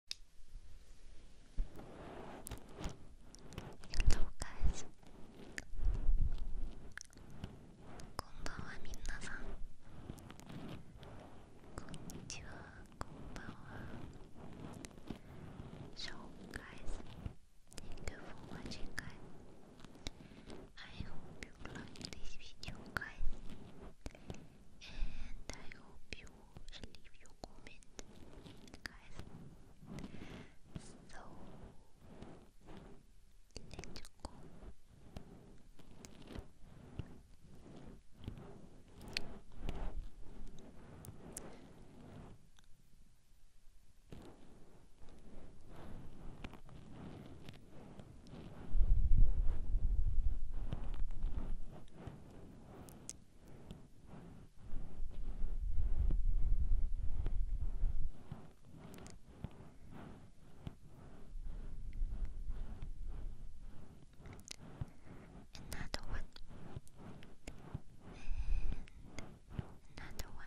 Hello guys こんばんはみなさんこんにちはこんばんは So guys thank you for watching guys I hope you like this video guys and I hope you and leave your comment, guys. So Let's go. Another one. another one.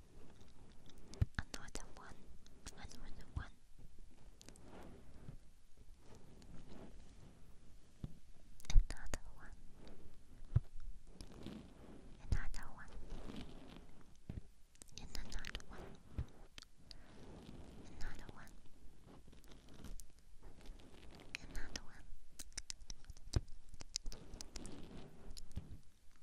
Another one, another one. Another one. Another one. another one. Another one. Another one.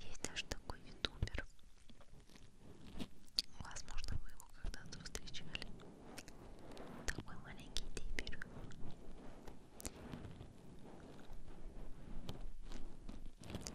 Есть даже такой ютубер. Возможно, вы его когда-то встречали. Такой маленький дебиль.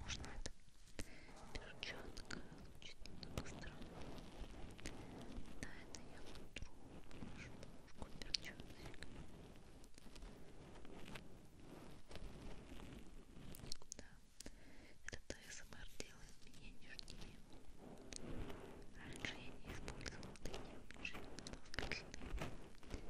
возможно, это перчатка очень быстро. Да, это я утру шпушку перчаточек. Да, этот АСМР делает меня нежнее. Раньше я не использовала такие нежные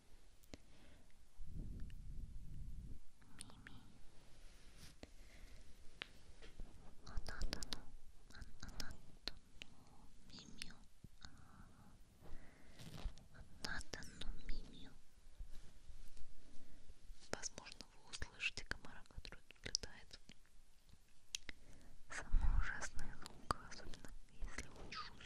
あなたのああなたの耳をあなたの耳を возможно вы услышите комара который тут летает самый ужасный звук особенно если он шумит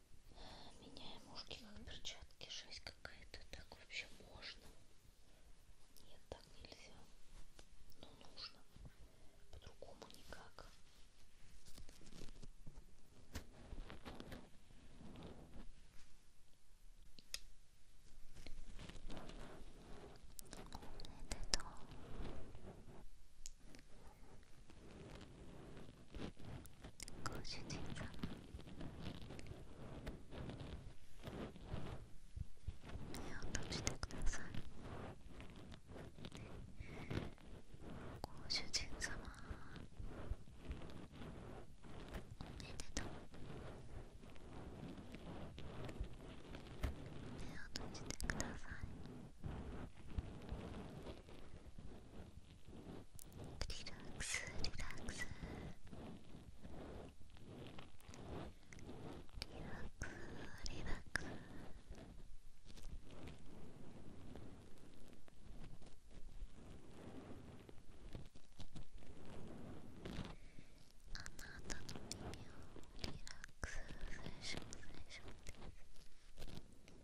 меняем ушки как перчатки жесть какая-то так вообще можно нет так нельзя но ну, нужно по-другому никак это то ご主人様目を閉じてくださいご主人様おめでとう目を閉じてくださいリラックスリラックスリラックス、リラックス。あなたの耳をリラックスフレッシュ、フレッションです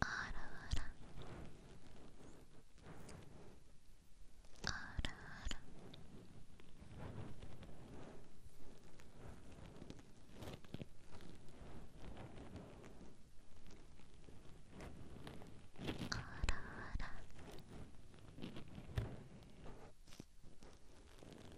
あらあらあらあらあらあら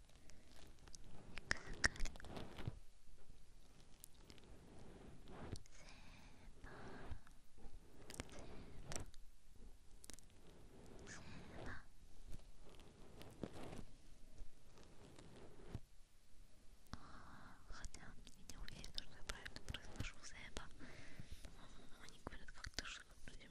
Хотя я не уверена, что я правильно произношу Зеба. По-моему, они говорят как-то шико вроде.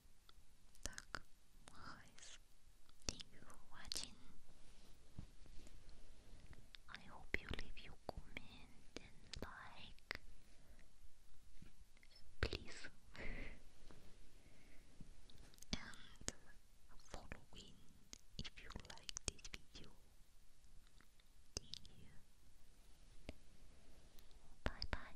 thank you for watching. I hope you leave your comment and like. Please. and follow in if you like this video. Bye bye.